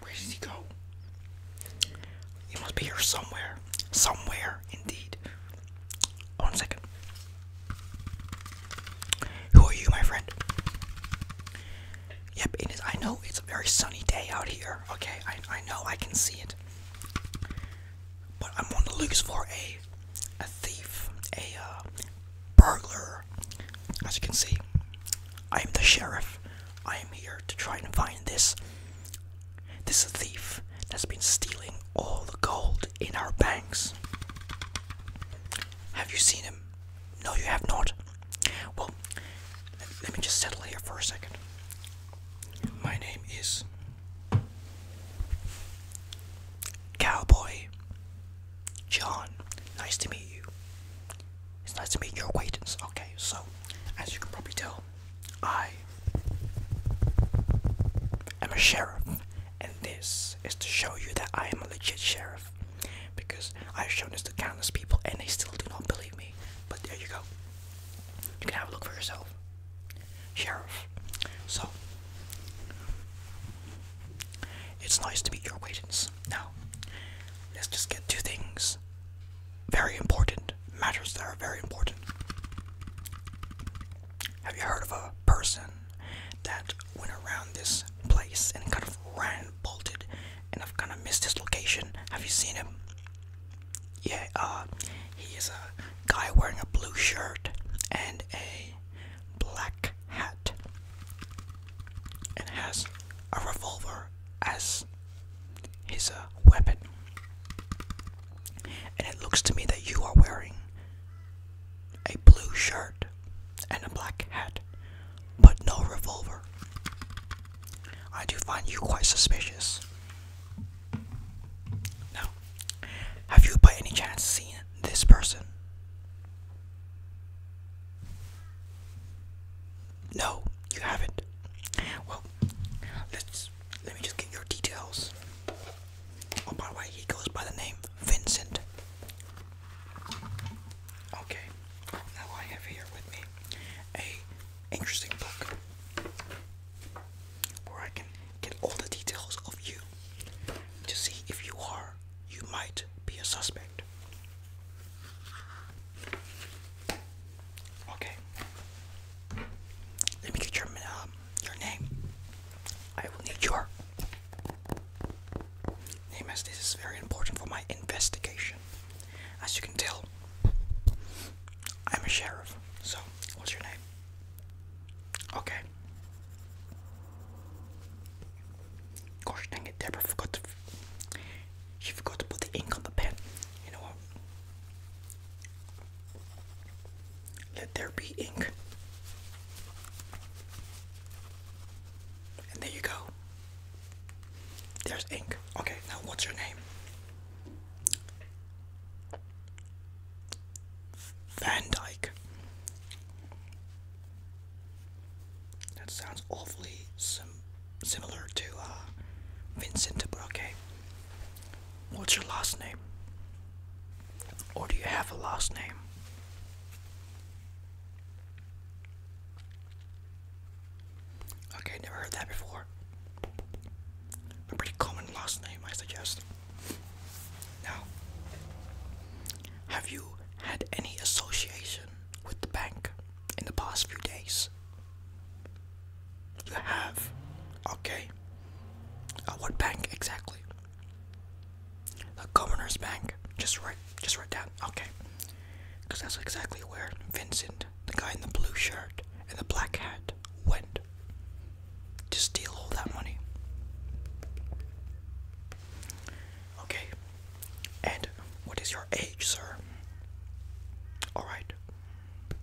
Where did he go? He must be here somewhere. Somewhere, indeed. One second. Who are you, my friend? Yep, it is. I know it's a very sunny day out here. Okay, I, know I can see it. But I'm on the loose for a a thief, a uh, burglar, as you can see, I am the sheriff. I am here to try and find this this thief that's been stealing all the gold in our banks. Have you seen him? No, you have not. Well, let me just settle here for a second. My name is Cowboy John, nice to meet you. It's nice to meet your acquaintance. Okay, so as you can probably tell, I am a sheriff, and this is to show you that I am a legit sheriff because I've shown this to countless people and they still do not believe me. But there you go. You can have a look for yourself. Sheriff. So it's nice to meet your acquaintance. Now, let's just get two things very important, matters that are very important. Have you heard of a person that went around this place and kind of ran, bolted, and have kind of missed his location? Have you seen him? Yeah, uh, he is a guy wearing a blue shirt and a black hat and has a revolver as his uh, weapon. And it looks to me that you are wearing a blue shirt and a black hat, but no revolver. I do find you quite suspicious. Now, have you by any chance seen this person? No, you haven't. Well, let's let me just get your details. Oh, by the way, he goes by the name Vincent. Okay, now I have here with me a interesting book where I can get all the details of you to see if you are you might be a suspect. Okay. Let me get your um, your name. I will need your name as this is very important for my investigation. As you can tell, I'm a sheriff. So, what's your name? Okay. Gosh dang it, Deborah forgot She forgot to put the ink on the pen. You know what? Let there be ink. And there you go. There's ink. Okay, now what's your name? Van Dyke. That sounds awfully sim similar to uh, Vincent, de okay. What's your last name? Or do you have a last name? Okay, never heard that before. A pretty common last name, I suggest. Now, have you had any association with the bank in the past few days? You have? Okay. Uh, what bank exactly? The Governor's Bank. Just write, just write down. Okay. Because that's exactly where Vincent, the guy in the blue shirt and the black hat, went to steal all that money. Okay. And what is your age, sir? Alright. A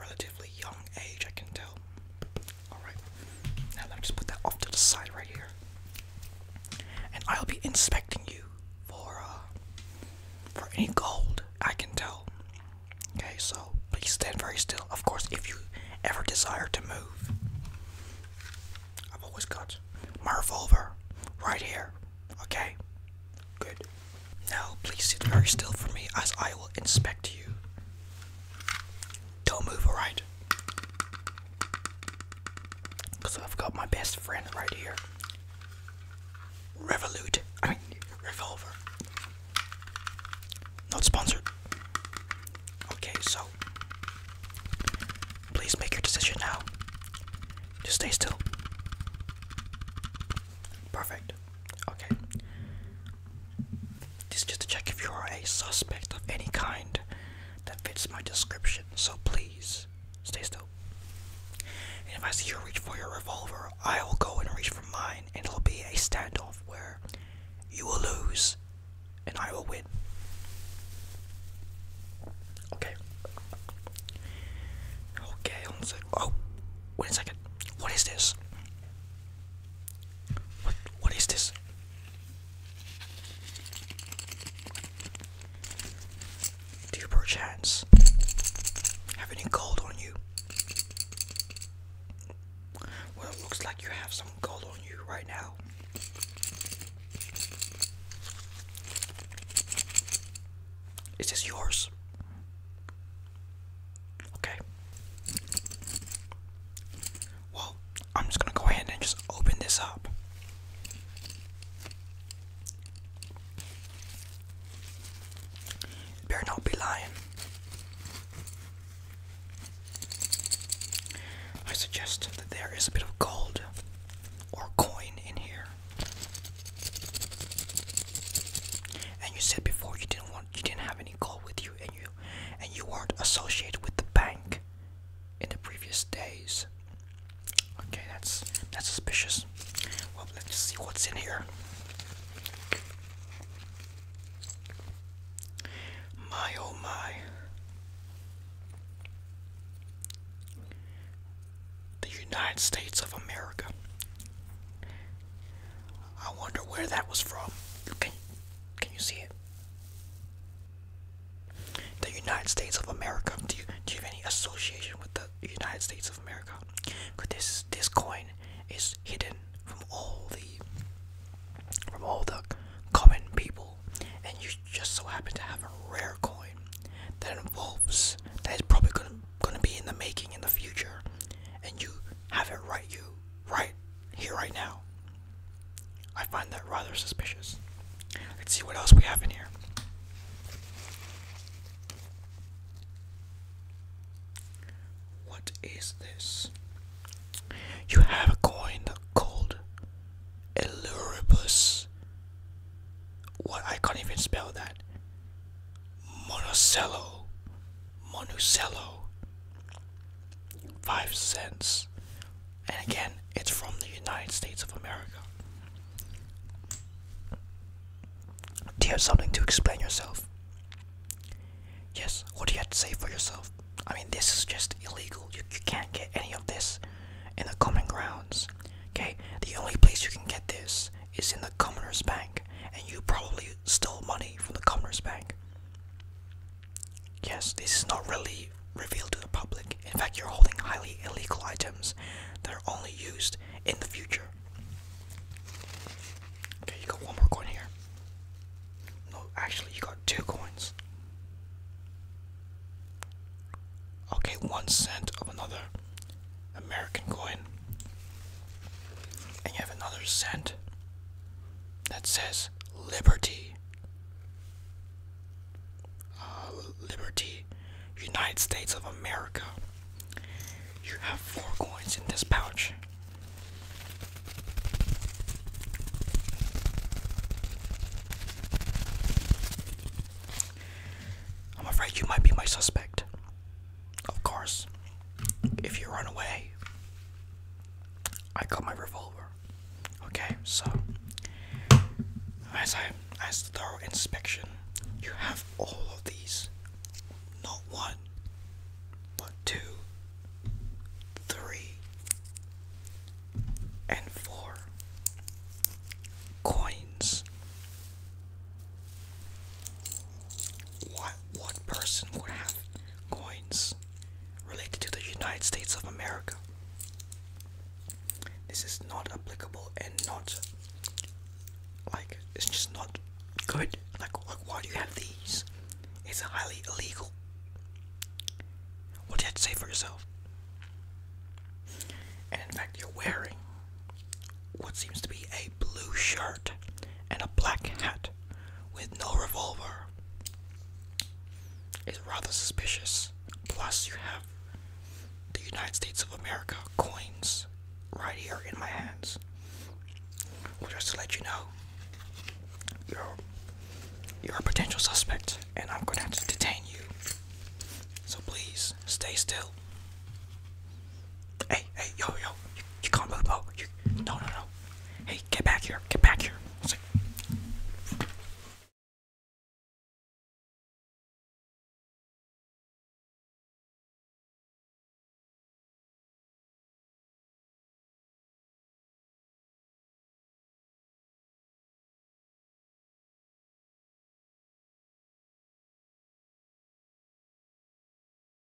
relatively young age, I can tell. Alright. Now let me just put that off to the side right here. And I'll be inspecting you for uh, for any gold I can tell. Okay, so please stand very still. Of course, if you ever desire to move, I've always got my revolver right here. Okay, good. Now, please sit very still for me as I will inspect you. Don't move, alright? Because I've got my best friend right here. Revolute. I mean, Revolver. Not sponsored. Okay, so. Please make your decision now. Just stay still. Perfect. Okay. This is just to check if you are a suspect of any kind that fits my description, so please Stay still. And if I see you reach for your revolver, I will go and reach for mine, and it'll be a standoff where you will lose and I will win. Okay. Okay, one second. Oh, wait a second. What is this? What? What is this? Do you perchance have any gold on you? Well, looks like you have some gold on you right now. Is this yours? Okay. Well, I'm just gonna go ahead and just open this up. Better not be lying. I suggest that there is a bit of gold or coin in here. And you said before you didn't want you didn't have any gold with you and you and you weren't associated with the bank in the previous days. Okay, that's that's suspicious. Well, let's see what's in here. My oh my. The United States of America. I wonder where that was from. Can, can you see it? The United States of America. Do you do you have any association with the United States of America? Because this this coin is hidden from all the from all the common people, and you just so happen to have a rare coin that involves that is probably gonna be in the making in the future, and you have it right you right here right now. I find that rather suspicious. Let's see what else we have in here. What is this? You have a coin called Eluribus. What? I can't even spell that. Monocello. Monocello. Five cents. And again, it's from the United States of America. Do you have something to explain yourself? Yes, what do you have to say for yourself? I mean, this is just illegal. You, you can't get any of this in the common grounds. Okay, the only place you can get this is in the Commoners Bank, and you probably stole money from the Commoners Bank. Yes, this is not really revealed to the public. In fact, you're holding highly illegal items that are only used in the future. Okay, you got one more coin here. No, actually, you got two coins. Okay, one cent of another American coin. And you have another cent that says Liberty. Uh, Liberty, United States of America. You have four coins in this pouch. I'm afraid you might be my suspect. Of course, if you run away, I got my revolver. Okay, so as I as thorough inspection, you have all of these. Not one, but two, three, and four coins. What what person would have coins? related to the United States of America. This is not applicable and not like it's just not good. Like, like why do you have these? It's highly illegal. What did you have to say for yourself? And in fact, you're wearing what seems to be a blue shirt and a black hat with no revolver is rather suspicious. Plus, you have the United States of America coins right here in my hands. just to let you know, you're a potential suspect, and I'm gonna have to detain you. So please stay still. Hey, hey, yo, yo, you can't move over. no no no. Hey, get back here. Get back here.